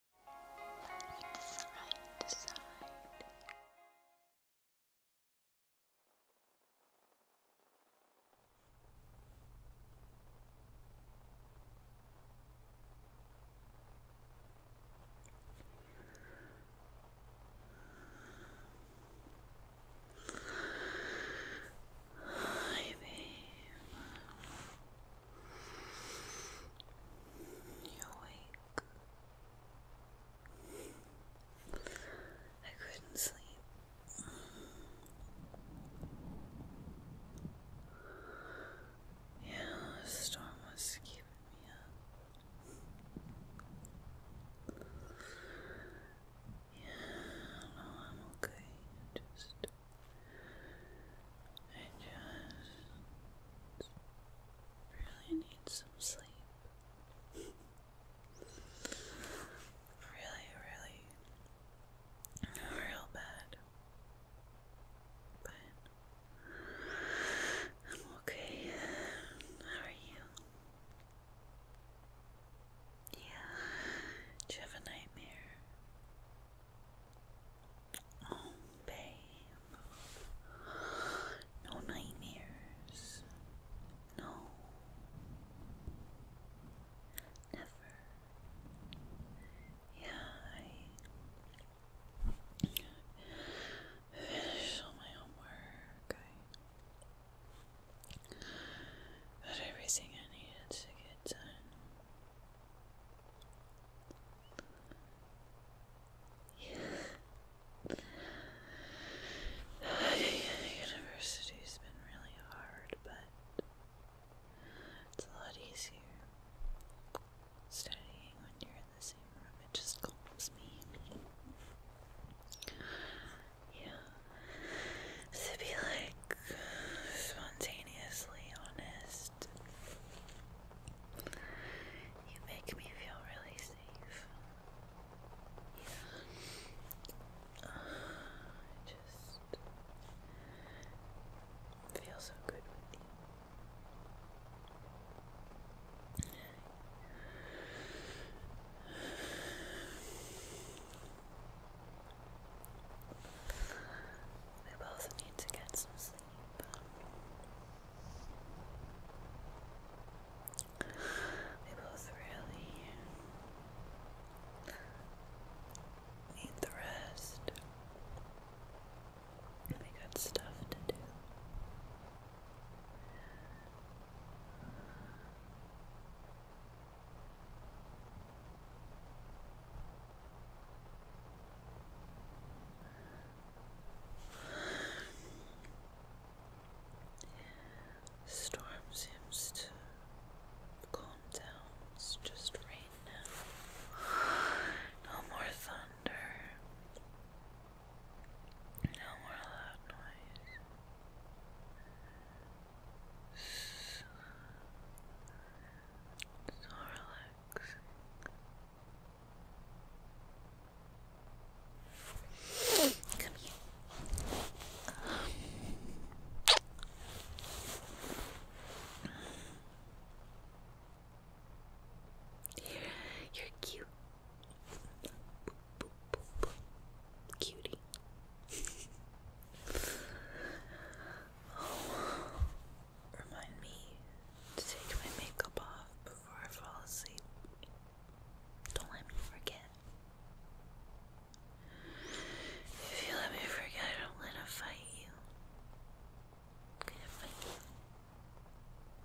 Look side to side. Hi, babe. You're awake. I couldn't sleep. Yeah, the storm was keeping me up. Yeah, no, I'm okay. Just I just really need some sleep. really, really, real bad. But I'm okay. How are you? Yeah, did you have a nightmare? Oh, babe. No nightmares. No. Never. Yeah, I finished all my homework. I got everything I needed to get done. Yeah. University's been really hard, but it's a lot easier studying when you're in the same room. It just calms me. Yeah. To be like spontaneously honest you make me feel really safe. Yeah. I just feel so good with you. We both need to get some sleep sleep. We both really need the rest. We got stuff to do. Storm seems to calm down. It's just rain now. No more thunder. No more loud noise. So Come here. You're, you're cute. Cutie remind me to take my makeup off before I fall asleep. Don't let me forget. If you let me forget, I'm gonna fight you.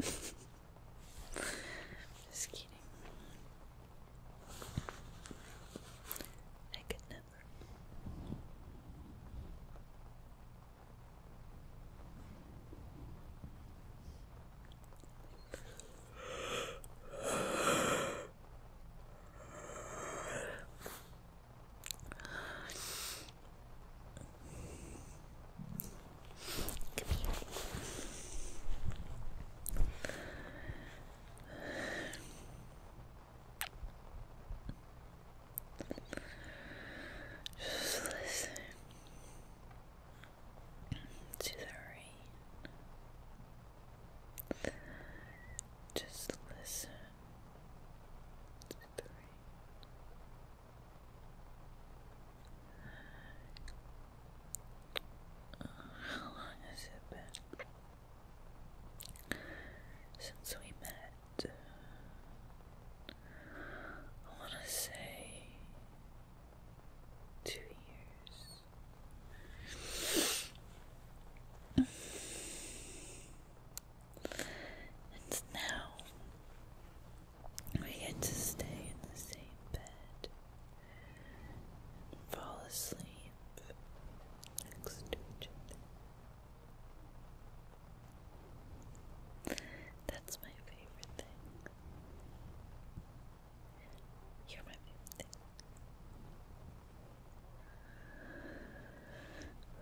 I'm Just kidding. I could never. Come here. Just listen to the rain. Just listen to the rain. How long has it been since we met? I want to say two years. and now we get to stay in the same bed fall asleep next to each other. That's my favorite thing. You're my favorite thing.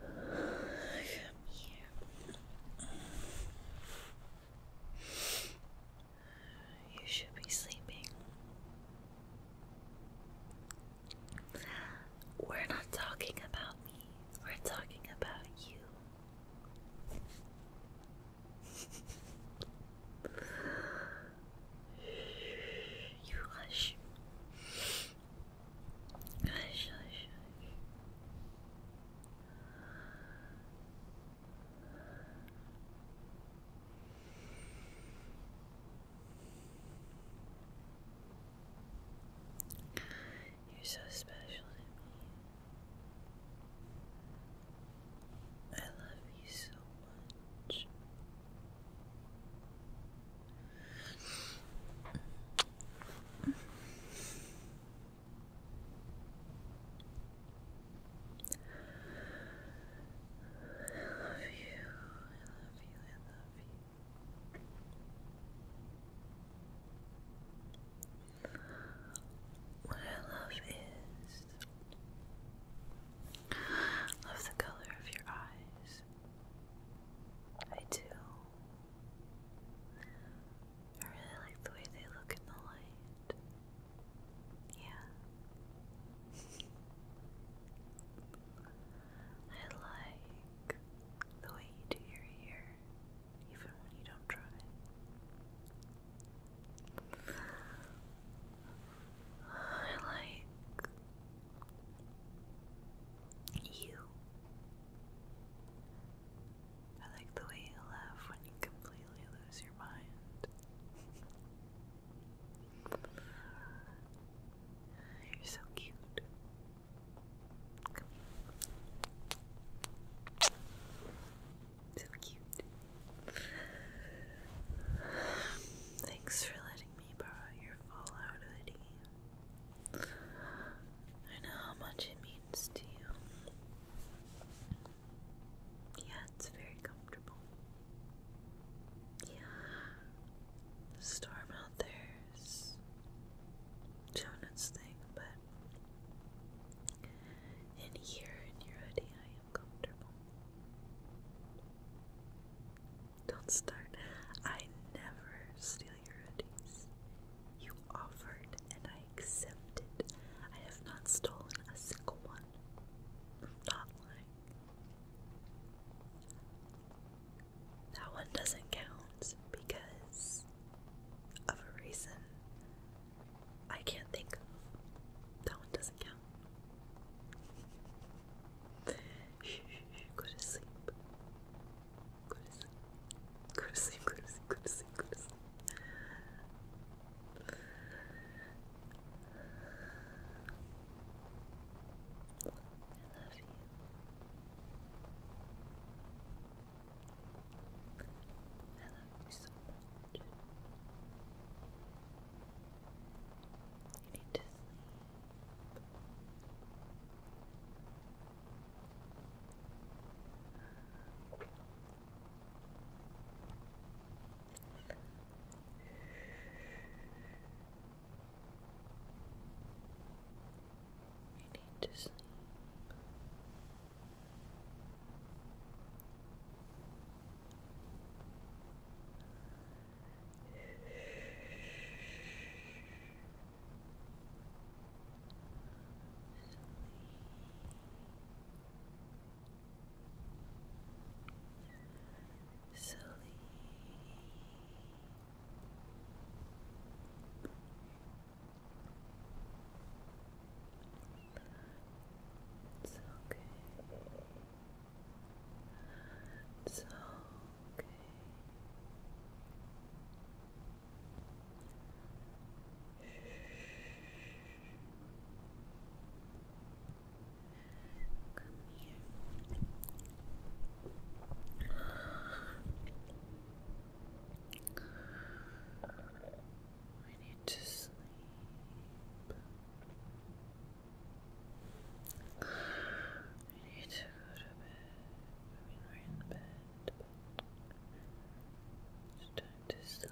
Come here. You should be sleeping. We're not talking about me. We're talking about you. you hush. Hush, hush, you're so special to me. I love you so much. I love you. I love you. I love you. What I love is love the color of your eyes. I do. I really like the way they look in the light. Yeah. I like the way you do your hair even when you don't try. I like you. I like the way you laugh when you completely lose your mind. You're so cute. So cute. Thanks for letting me borrow your Fallout hoodie. I know how much it means to you. Yeah, it's very comfortable. Yeah, the storm out there is Donuts thing, but in here, in your hoodie, I am comfortable. Don't start. I never steal your hoodies. You offered and I accepted. I have not stolen a single one. not lying. That one doesn't count because of a reason I can't think of. That one doesn't count. Go to sleep. Go to sleep, go to sleep, go to sleep, go to sleep. I love you. I love you so much. You need to sleep. I need to sleep. Sleep. Sleep. Sleep. It's okay. It's okay. Come here. I need to sleep. I need to go to bed. we're in bed, it's time to Sleep,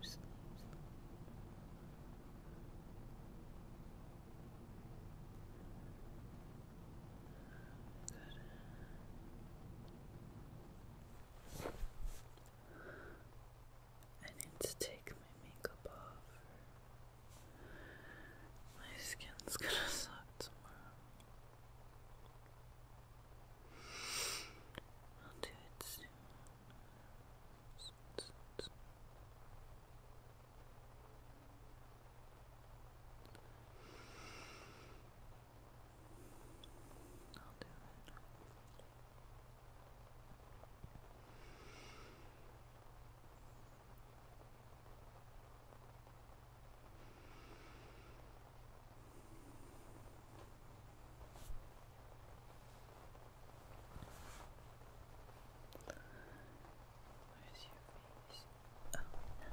sleep, sleep. I need to take my makeup off. My skin's gonna suck tomorrow. I'll do it soon. I'll do it. Where's your face? Oh, no. Good.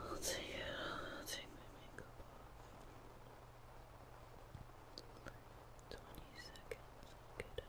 I'll take I'll take my makeup off. Twenty seconds. Get Twenty.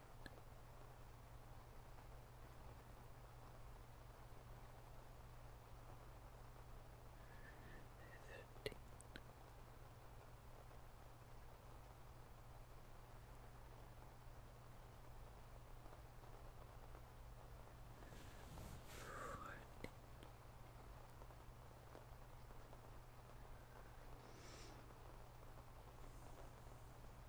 Thirteen. Fourteen. Fifteen.